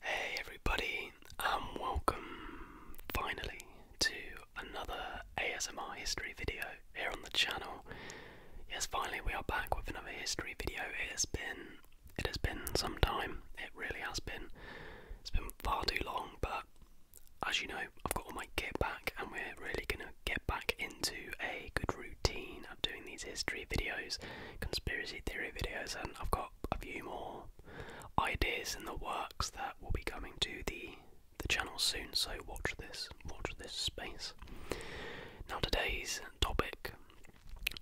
Hey everybody, and um, welcome finally to another ASMR history video here on the channel. Yes, finally we are back with another history video. It has been it has been some time. It really has been. It's been far too long, but as you know, I've got all my kit back and we're really gonna get back into a good routine of doing these history videos, conspiracy theory videos, and I've got a few more ideas in the works that will be coming to the the channel soon. So watch this, watch this space. Now today's topic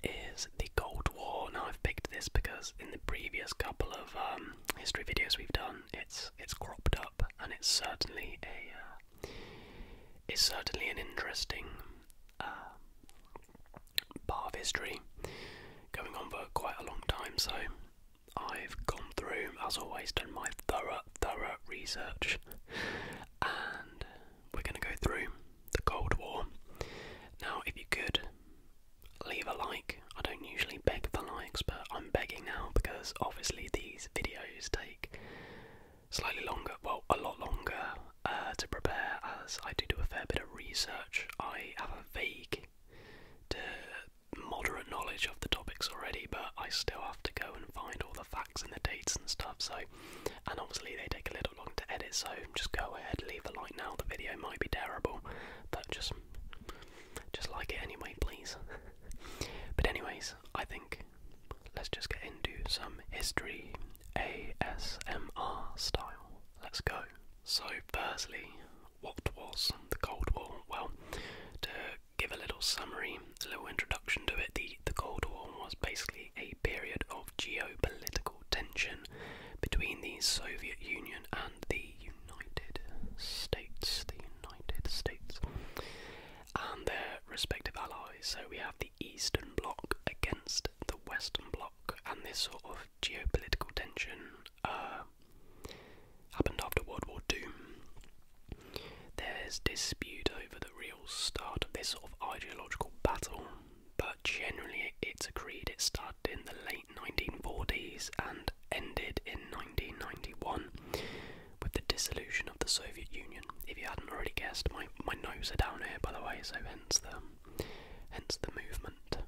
is the Cold War. Now I've picked this because in the previous couple of um, history videos we've done, it's it's cropped up and it's certainly a uh, it's certainly an interesting. Uh, part of history going on for quite a long time. So I've gone through, as always, done my thorough, thorough research, and we're going to go through the Cold War. Now, if you could leave a like, I don't usually beg for likes, but I'm begging now because obviously these videos take slightly longer, well, a lot longer uh, to prepare, as I do do a fair bit of research. I have a vague to moderate knowledge of the topics already, but I still have to go and find all the facts and the dates and stuff. So, and obviously they take a little long to edit. So just go ahead, leave a like now. The video might be terrible, but just just like it anyway, please. but anyways, I think let's just get into some history ASMR style. Let's go. So, firstly, what was the Cold War? Well, to give a little summary, a little introduction to it, the, the Cold War was basically a period of geopolitical tension between the Soviet Union and the United States. The United States and their respective allies. So we have the Eastern Bloc against the Western Bloc and this sort of geopolitical tension uh, happened after World War II. There's dispute over the real start of this sort of ideological battle, but generally it's agreed it started in the late 1940s and ended in 1991 with the dissolution of the Soviet Union. If you hadn't already guessed, my, my notes are down here by the way, so hence the hence the movement.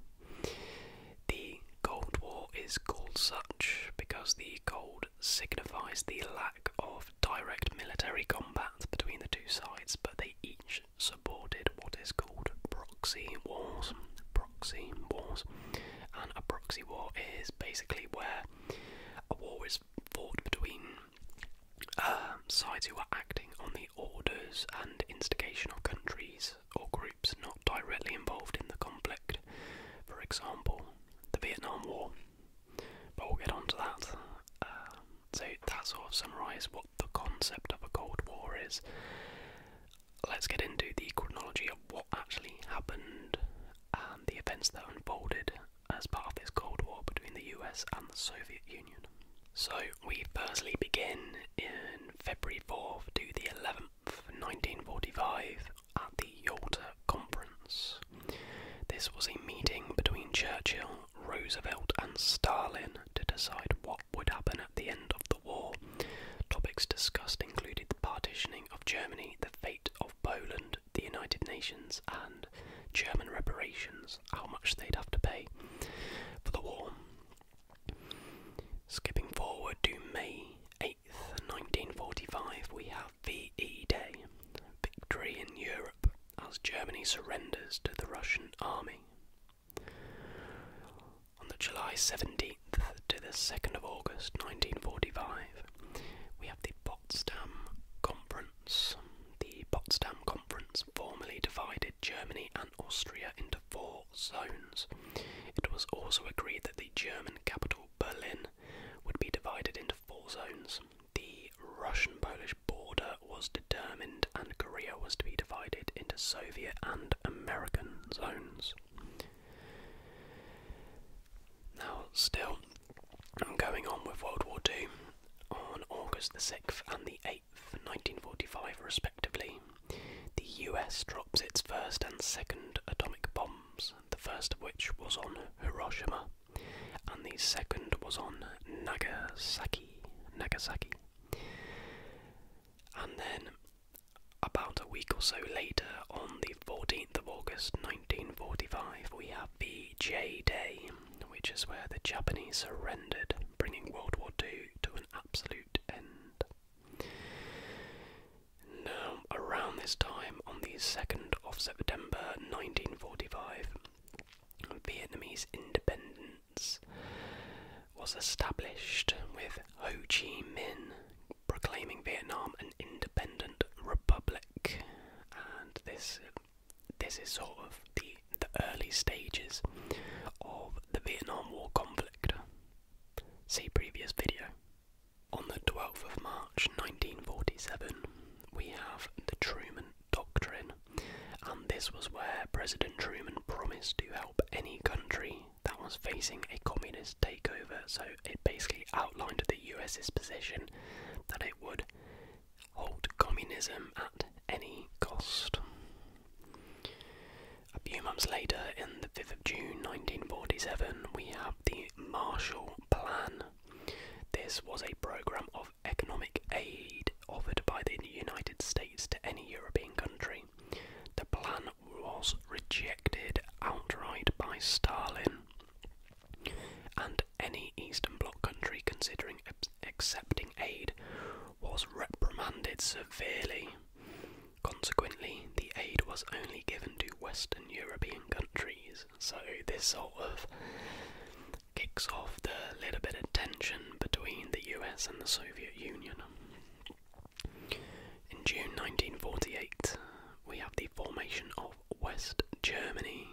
The Cold War is called such because the gold signifies the lack of direct military combat between the two sides, but they each supported what is called proxy wars. Proxy wars. And a proxy war is basically where a war is fought between uh, sides who are acting on the orders and instigation of countries or groups not directly involved in the conflict. For example, the Vietnam War. But we'll get on to that. Um, so that sort of summarises what the concept of a Cold War is. Let's get into the chronology of what actually happened and the events that unfolded as part of this Cold War between the US and the Soviet Union. So, we firstly begin in February 4th to the 11th, 1945, at the Yalta Conference. This was a meeting between Churchill, Roosevelt, and Stalin to decide what would happen at the end of the war. Topics discussed included the partitioning of Germany, the fate of Poland, the United Nations, and German reparations, how much they'd have to pay for the war. Skipping forward to May 8th, 1945, we have VE Day, victory in Europe as Germany surrenders to the Russian army. On the July 17th to the 2nd of August 1945, we have the Potsdam Conference. The Potsdam Conference formally divided Germany and Austria into four zones. It was also agreed that the German capital Berlin would be divided into four zones. The Russian Polish border was determined, and Korea was to be divided into Soviet and American zones. Now, still, I'm going on with World War II. On August the 6th and the 8th, 1945, respectively, the US drops its first and second atomic bombs, the first of which was on Hiroshima, and the second was on Nagasaki. Nagasaki. And then, about a week or so later, on the 14th of August 1945, we have the J Day, which is where the Japanese surrendered, bringing World War II to an absolute now, around this time, on the 2nd of September 1945, Vietnamese independence was established with Ho Chi Minh proclaiming Vietnam an independent republic, and this this is sort of the the early stages of the Vietnam War conflict. See previous video. On the 12th of March 1947, we have the Truman Doctrine, and this was where President Truman promised to help any country that was facing a communist takeover. So it basically outlined the US's position that it would halt communism at any cost. A few months later, in the 5th of June 1947, we have the Marshall Plan. This was a program of economic aid offered by the United States to any European country. The plan was rejected outright by Stalin and any Eastern Bloc country considering accepting aid was reprimanded severely. Consequently, the aid was only given to Western European countries, so this sort of kicks off the little bit of tension between the US and the Soviet Union. In June 1948, we have the formation of West Germany,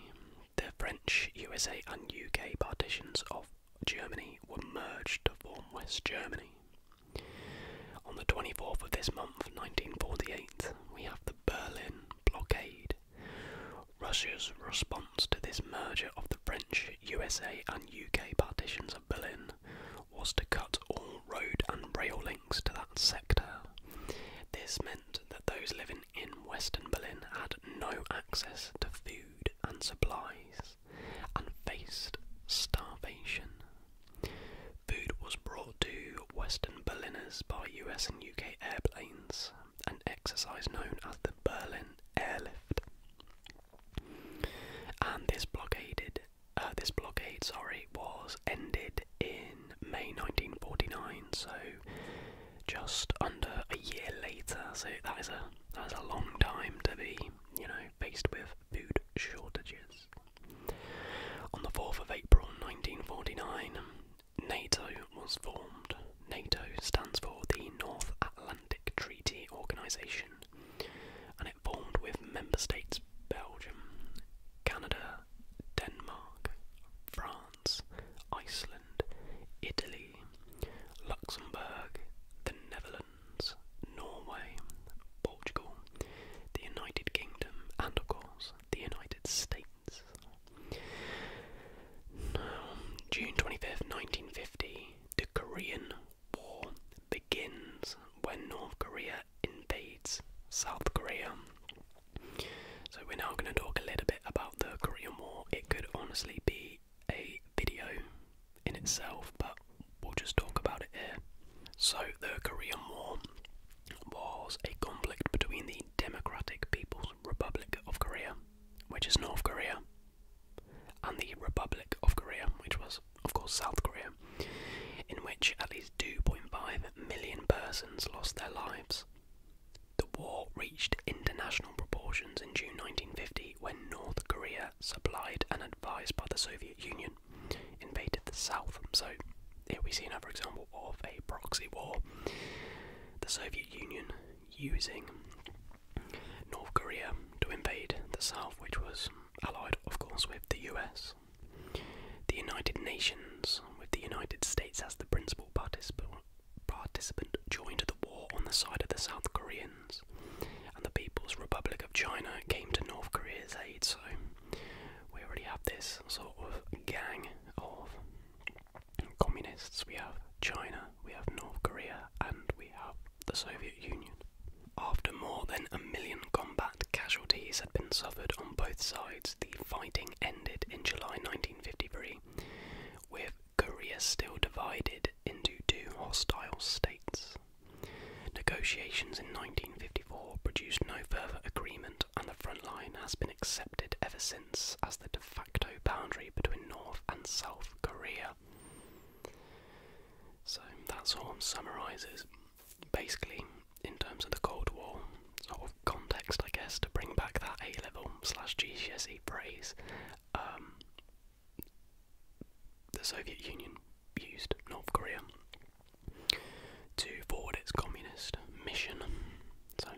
the French, USA, and UK partitions of Germany were merged to form West Germany. On the 24th of this month, 1948, we have the Berlin blockade. Russia's response to this merger of the French, USA, and UK partitions of Berlin was to cut all road and rail links to that sector. This meant that those living in Western Berlin had no access to food and supplies and faced starvation. Food was brought to Western Berliners by US and UK airplanes, an exercise known as the Berlin Airlift. And this blockaded uh, this blockade, sorry, was ended in May 1949, so just under a year later. So that is a that is a long time to be you know, faced with food shortages. On the 4th of April 1949, NATO was formed. NATO stands for the North Atlantic Treaty Organisation and it formed with member states Belgium, Canada, Denmark, France, Iceland, Italy, Luxembourg, the Netherlands. Norway, Portugal, the United Kingdom, and of course the United States. June 25th, 1950, the Korean War begins when North Korea invades South Korea. So, we're now going to talk a little bit about the Korean War. It could honestly be a video in itself, but we'll just talk about it here. So, the Korean War was a conflict between the Democratic People's Republic of Korea, which is North Korea, and the Republic of Korea, which was, of course, South Korea, in which at least 2.5 million persons lost their lives. The war reached international proportions in June 1950 when North Korea, supplied and advised by the Soviet Union, invaded the South. So here we see another example of a proxy war. The Soviet Union using North Korea to invade the South, which was allied, of course, with the US. The United Nations, with the United States as the principal participant joined the war on the side of the South Koreans and the People's Republic of China came to North Korea's aid. So we already have this sort of gang of communists. We have China, we have North Korea, and we have the Soviet Union. After more than a million combat casualties had been suffered on both sides, the fighting ended in July 1953, with Korea still divided into two hostile states. Negotiations in 1954 produced no further agreement, and the front line has been accepted ever since as the de facto boundary between North and South Korea. So that sort of summarises basically in terms of the Cold War sort of context, I guess, to bring back that A level slash GCSE phrase. Um, the Soviet Union used North Korea to forward its communist mission. So,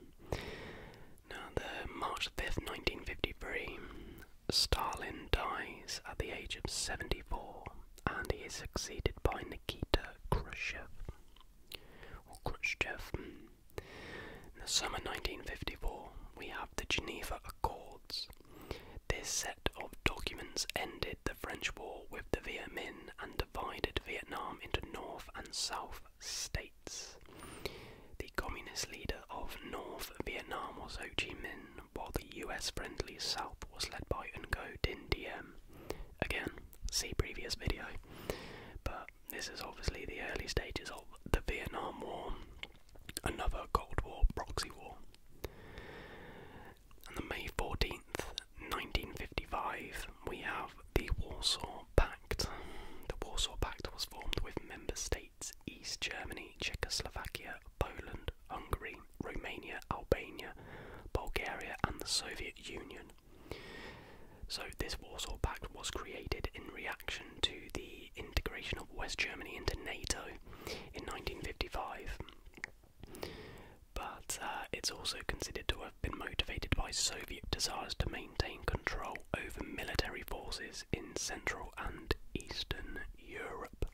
now the March 5th, 1953, Stalin dies at the age of 74 and he is succeeded by Nikita Khrushchev. In the summer 1954, we have the Geneva Accords, this set of documents ended the French War with the Viet Minh and divided Vietnam into North and South states. The communist leader of North Vietnam was Ho Chi Minh, while the US friendly South was led by Ngo Dinh Diem. Again, see previous video. But this is obviously the early stages of the Vietnam War another Cold War proxy war. And then May 14th, 1955, we have the Warsaw Pact. The Warsaw Pact was formed with member states East Germany, Czechoslovakia, Poland, Hungary, Romania, Albania, Bulgaria, and the Soviet Union. So, this Warsaw Pact was created in reaction to the integration of West Germany into NATO in 1955. But uh, it's also considered to have been motivated by Soviet desires to maintain control over military forces in Central and Eastern Europe.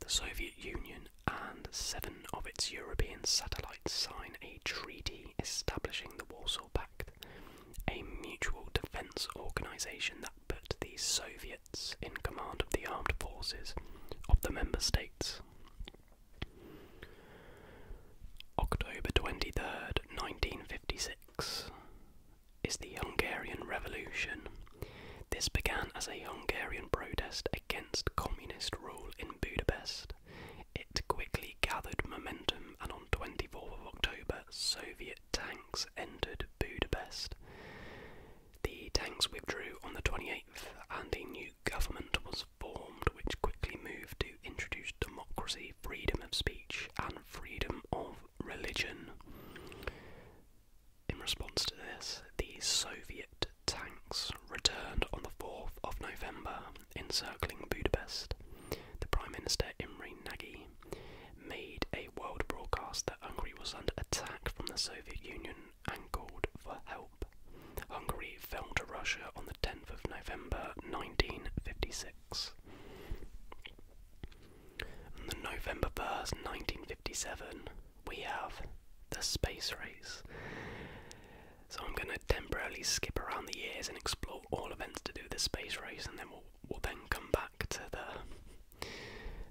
The Soviet Union and seven of its European satellites sign a treaty establishing the Warsaw Pact, a mutual defence organisation that put the Soviet in command of the armed forces of the member states. October twenty third, 1956 is the Hungarian Revolution. This began as a Hungarian protest against communist rule in Budapest. It quickly gathered momentum and on 24 October Soviet tanks entered Budapest. The tanks withdrew on the 28th, and a new government was formed, which quickly moved to introduce democracy, freedom of speech, and freedom of religion. In response to this, the Soviet tanks returned on the 4th of November, encircling Budapest. The Prime Minister Imre Nagy made a world broadcast that Hungary was under attack from the Soviet Union and called for help. Hungary fell to Russia on the 10th of November 1956. On the November 1st, 1957, we have the space race. So I'm going to temporarily skip around the years and explore all events to do the space race, and then we'll then come back to the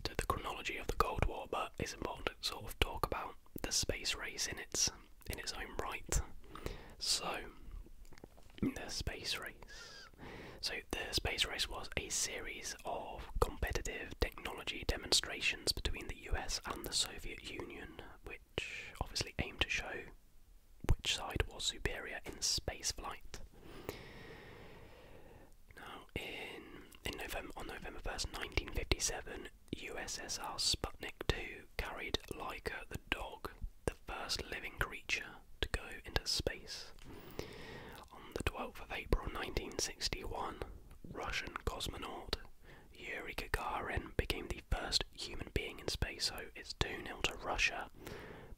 to the chronology of the Cold War, but it's important to sort of talk about the space race in its in its own right. So the space race. So the space race was a series of competitive technology demonstrations between the US and the Soviet Union, which obviously aimed to show which side was superior in space flight. Now, in in November on November first, nineteen fifty-seven, USSR Sputnik Two carried Laika the dog, the first living creature to go into space. On the twelfth of April, nineteen sixty-one, Russian cosmonaut Yuri Gagarin became the first human being in space. So it's two 0 to Russia.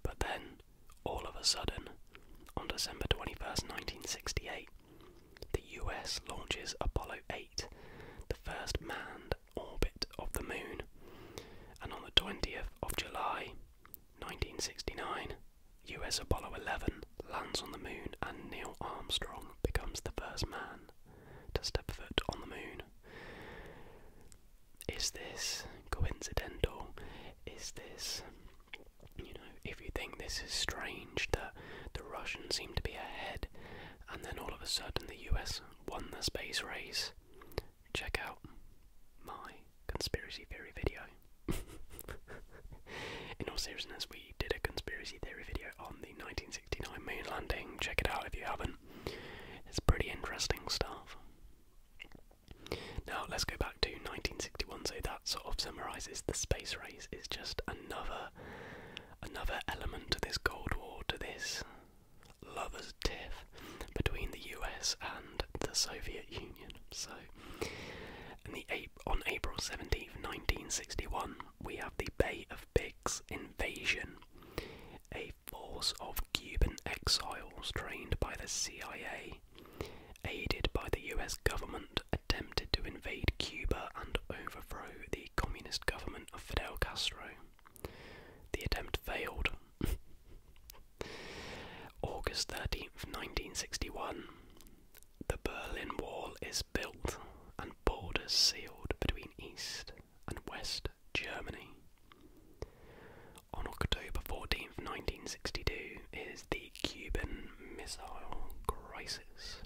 But then all of a sudden, on December 21st, 1968, the US launches Apollo 8, the first manned orbit of the moon, and on the 20th of July 1969, US Apollo 11 lands on the moon and Neil Armstrong becomes the first man to step foot on the moon. Is this coincidental? Is this you know, if you think this is strange that the Russians seem to be ahead and then all of a sudden the US won the space race, check out my conspiracy theory video. In all seriousness, we did a conspiracy theory video on the 1969 moon landing. Check it out if you haven't. It's pretty interesting stuff. Now let's go back to 1961. So that sort of summarises the space race. It's just another another element to this Cold War, to this lovers' tiff between the U.S. and the Soviet Union. So, on April 17, 1961, we have the Bay of Pigs invasion. A force of Cuban exiles trained by the CIA aided by the US government, attempted to invade Cuba and overthrow the communist government of Fidel Castro. The attempt failed. August 13th, 1961. The Berlin Wall is built and borders sealed between East and West Germany. On October 14, 1962 is the Cuban Missile Crisis.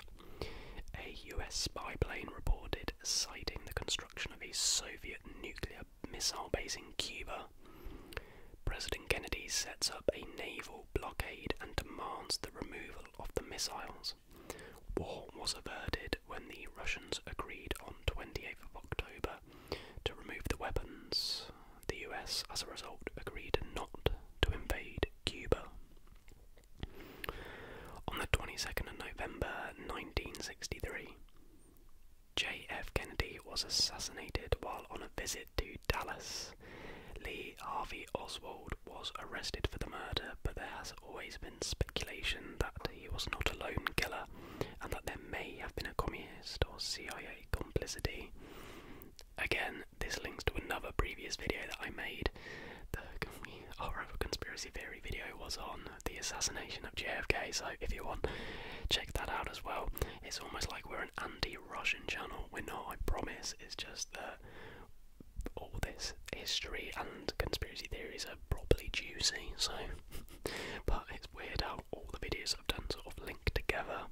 A US spy plane reported sighting the construction of a Soviet nuclear missile base in Cuba. President Kennedy sets up a naval blockade and demands the removal of the missiles. War was averted when the Russians agreed on 28th of October to remove the weapons. The US, as a result, agreed not to invade Cuba. On the 22nd of November 1963, J.F. Kennedy was assassinated while on a visit to Dallas. Lee Harvey Oswald was arrested for the murder, but there has always been speculation that he was not a lone killer and that there may have been a communist or CIA complicity. Again, this links to another previous video that I made. The our other oh, conspiracy theory video was on the assassination of JFK, so if you want, check that out as well. It's almost like we're an anti-Russian channel. We're not, I promise. It's just that all this history and conspiracy theories are probably juicy. So, but it's weird how all the videos I've done sort of link together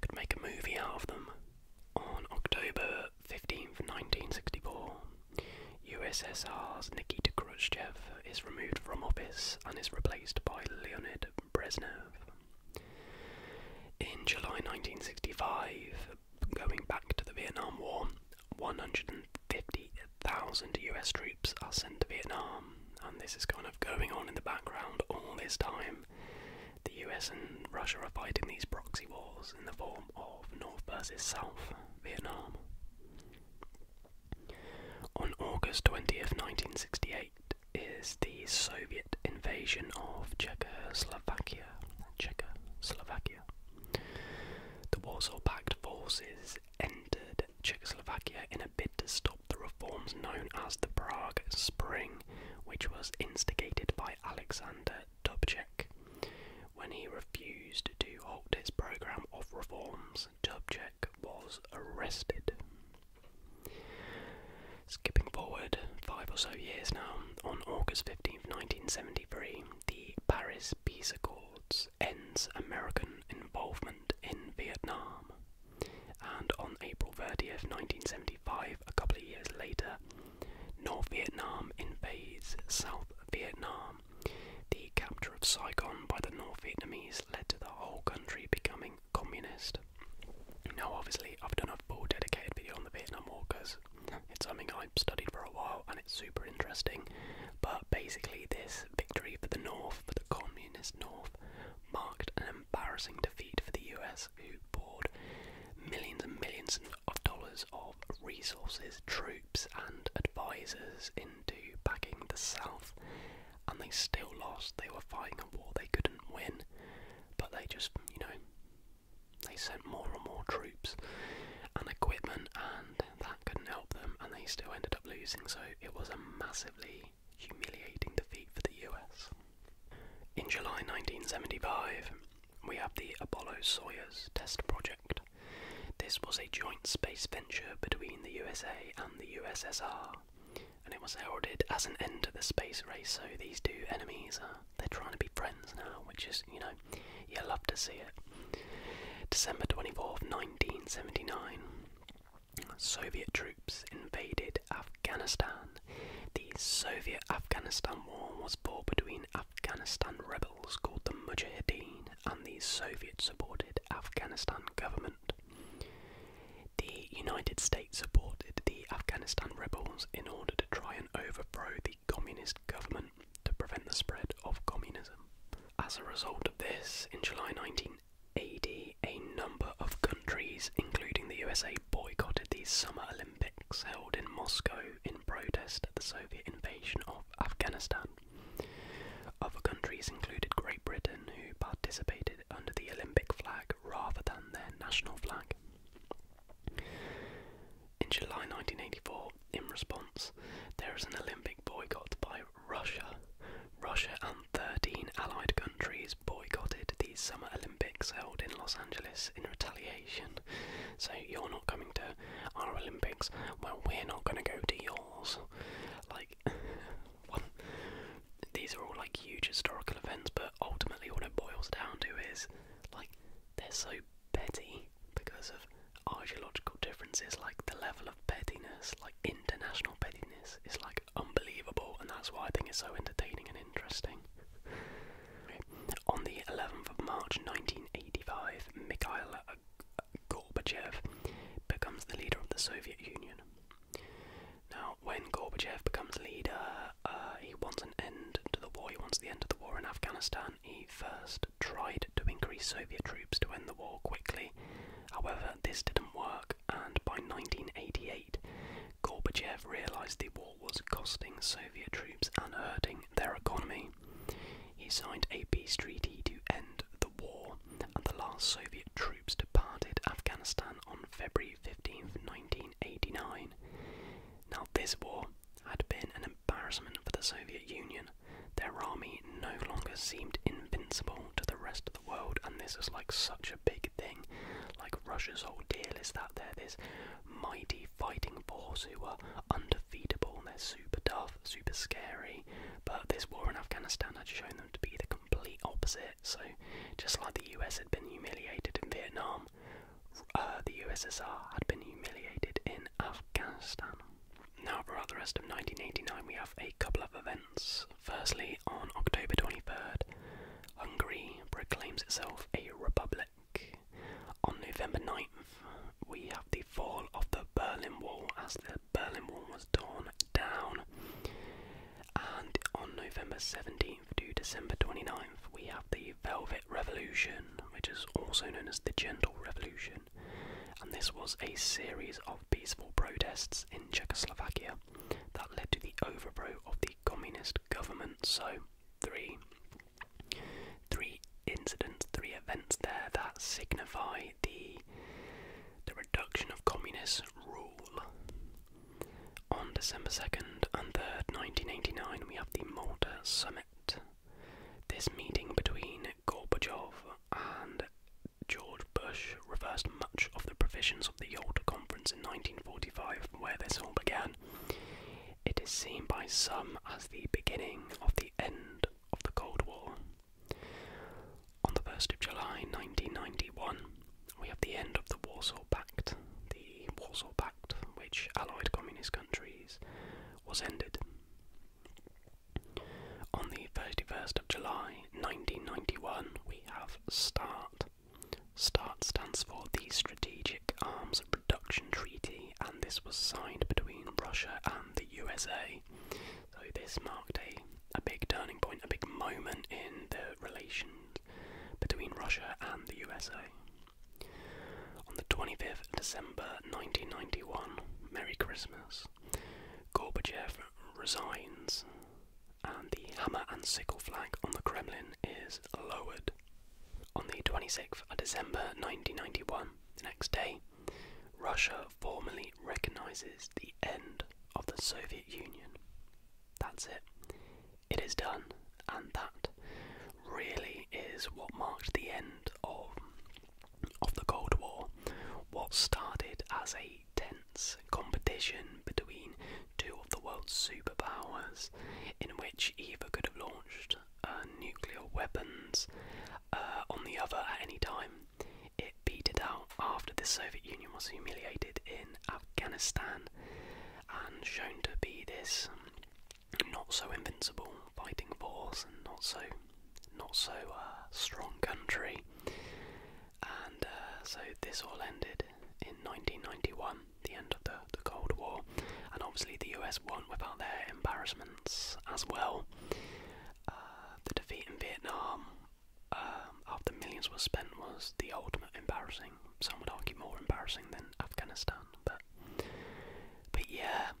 could make a movie out of them. On October 15th, 1964, USSR's Nikita Khrushchev is removed from office and is replaced by Leonid Brezhnev. In July 1965, going back to the Vietnam War, 150,000 US troops are sent to Vietnam, and this is kind of going on in the background all this time. The US and Russia are fighting these proxy wars in the form of North versus South Vietnam. On August 20th, 1968, is the Soviet invasion of Czechoslovakia. Czechoslovakia. The Warsaw Pact forces entered Czechoslovakia in a bid to stop the reforms known as the Prague Spring, which was instigated by Alexander Dubček. When he refused to halt his program of reforms, Dubček was arrested. Skipping forward five or so years now, on August 15, 1973, the Paris Peace Accords ends American involvement in Vietnam. And on April 30th, 1975, a couple of years later, North Vietnam invades South Vietnam. The capture of Saigon by the North Vietnamese led to the whole country becoming communist. Now, obviously, I've done a full dedicated video on the Vietnam War because it's something I've studied for a while and it's super interesting. But basically, this victory for the North, for the communist North, marked an embarrassing defeat for the US who poured millions and millions of dollars of resources, troops, and advisors into backing the South, and they still lost. They were fighting a war they couldn't win, but they just, you know, they sent more and more troops and equipment, and that couldn't help them, and they still ended up losing. So it was a massively humiliating defeat for the US. In July 1975, we have the Apollo Soyuz test project. This was a joint space venture between the USA and the USSR, and it was heralded as an end to the space race. So these two enemies are—they're trying to be friends now, which is, you know, you love to see it. December 24th, 1979, Soviet troops invaded Afghanistan. Afghanistan. The Soviet Afghanistan War was fought between Afghanistan rebels called the Mujahideen and the Soviet supported Afghanistan government. The United States supported the Afghanistan rebels in order to try and overthrow the communist government to prevent the spread of communism. As a result of this, in July 1980, a number of countries, including the USA, boycotted the Summer Olympics held in Moscow in protest at the Soviet invasion of Afghanistan. Other countries included Great Britain, who participated under the Olympic flag rather than their national flag. In July 1984, in response, there is an Olympic boycott by Russia. Russia and 13 allied countries boycotted the Summer Olympics held in Los Angeles in retaliation. So you're not coming to our Olympics, well, we're not going to go to yours. Like, these are all like huge historical events, but ultimately, what it boils down to is like they're so petty because of ideological differences, like the level of pettiness, like international pettiness, is like unbelievable, and that's why I think it's so entertaining and interesting. On the 11th of March 1985, Mikhail Gorbachev becomes the leader of the Soviet Union. Now, when Gorbachev becomes leader, uh, he wants an end to the war. He wants the end of the war in Afghanistan. He first tried to increase Soviet troops to end the war quickly. However, this didn't work, and by 1988, Gorbachev realized the war was costing Soviet troops and hurting their economy. He signed a peace treaty to end the war, and the last Soviet troops departed Afghanistan on February 15, 1989. Now, this war had been an embarrassment for the Soviet Union. Their army no longer seemed invincible to the rest of the world, and this was like such a big thing. Like, Russia's whole deal is that they're this mighty fighting force who are undefeatable and they're super tough, super scary. But this war in Afghanistan had shown them to be the complete opposite. So just like the US had been humiliated in Vietnam, uh, the USSR had been humiliated in Afghanistan. Now, throughout the rest of 1989, we have a couple of events. Firstly, on October 23rd, Hungary proclaims itself a republic. On November 9th, we have the fall of the Berlin Wall as the Berlin Wall was torn down. And on November 17th to December 29th, we have the Velvet Revolution, which is also known as the Gentle Revolution. And this was a series of peaceful protests in Czechoslovakia that led to the overthrow of the communist government. So three, three incidents, three events there that signify the the reduction of communist rule. On December 2nd and 3rd, 1989, we have the Malta Summit. This meeting between Gorbachev and George Bush reversed much of the provisions the Yalta Conference in 1945, where this all began. It is seen by some as the beginning of the end of the Cold War. On the 1st of July 1991, we have the end of the Warsaw Pact. The Warsaw Pact, which allied communist countries, was ended. On the 31st of July 1991, we have START, START stands for the Strategic Arms Reduction Treaty, and this was signed between Russia and the USA. So this marked a, a big turning point, a big moment in the relations between Russia and the USA. On the 25th December 1991, Merry Christmas, Gorbachev resigns and the hammer and sickle flag on the Kremlin is lowered. On the 26th of December 1991, the next day, Russia formally recognizes the end of the Soviet Union. That's it. It is done, and that really is what marked the end of of the Cold War. What started as a tense competition between two of the world's superpowers, in which either could have launched uh, nuclear weapons uh, on the other at any time. It petered out after the Soviet Union was humiliated in Afghanistan and shown to be this not so invincible fighting force and not so not so uh, strong country. And so this all ended in 1991, the end of the, Cold War, and obviously the US won without their embarrassments as well. Uh, the defeat in Vietnam, um, after millions were spent, was the ultimate embarrassing. Some would argue more embarrassing than Afghanistan, but but yeah.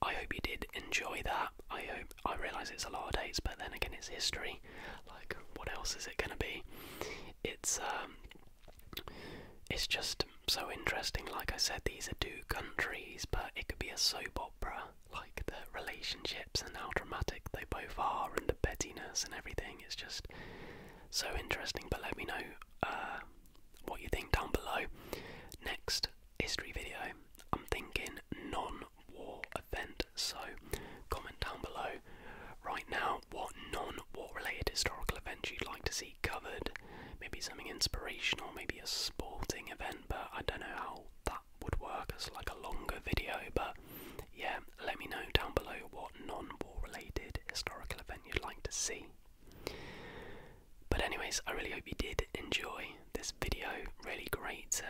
I hope you did enjoy that. I hope I realise it's a lot of dates, but then again, it's history. Like, what else is it going to be? It's um, it's just so interesting. Like I said, these are two countries, but it could be a soap opera. Like the relationships and how dramatic they both are, and the pettiness and everything. It's just so interesting. But let me know uh, what you think down below. Next history video, I'm thinking non war event. So comment down below Right now, what non war related historical events you'd like to see covered? Maybe something inspirational, maybe a sporting event, but I don't know how that would work as like a longer video. But yeah, let me know down below what non war related historical event you'd like to see. But, anyways, I really hope you did enjoy this video. Really great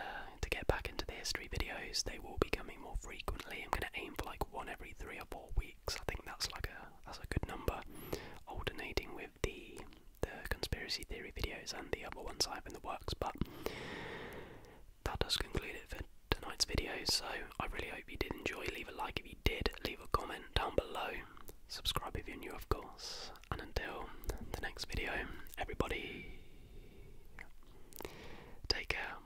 to get back into the history videos, they will be coming more frequently. I'm going to aim for like one every three or four weeks I think that's like a that's a good number. Alternating with the the conspiracy theory videos and the other ones I have in the works, but that does conclude it for tonight's video. So I really hope you did enjoy. Leave a like if you did. Leave a comment down below. Subscribe if you're new, of course. And until the next video, everybody, take care.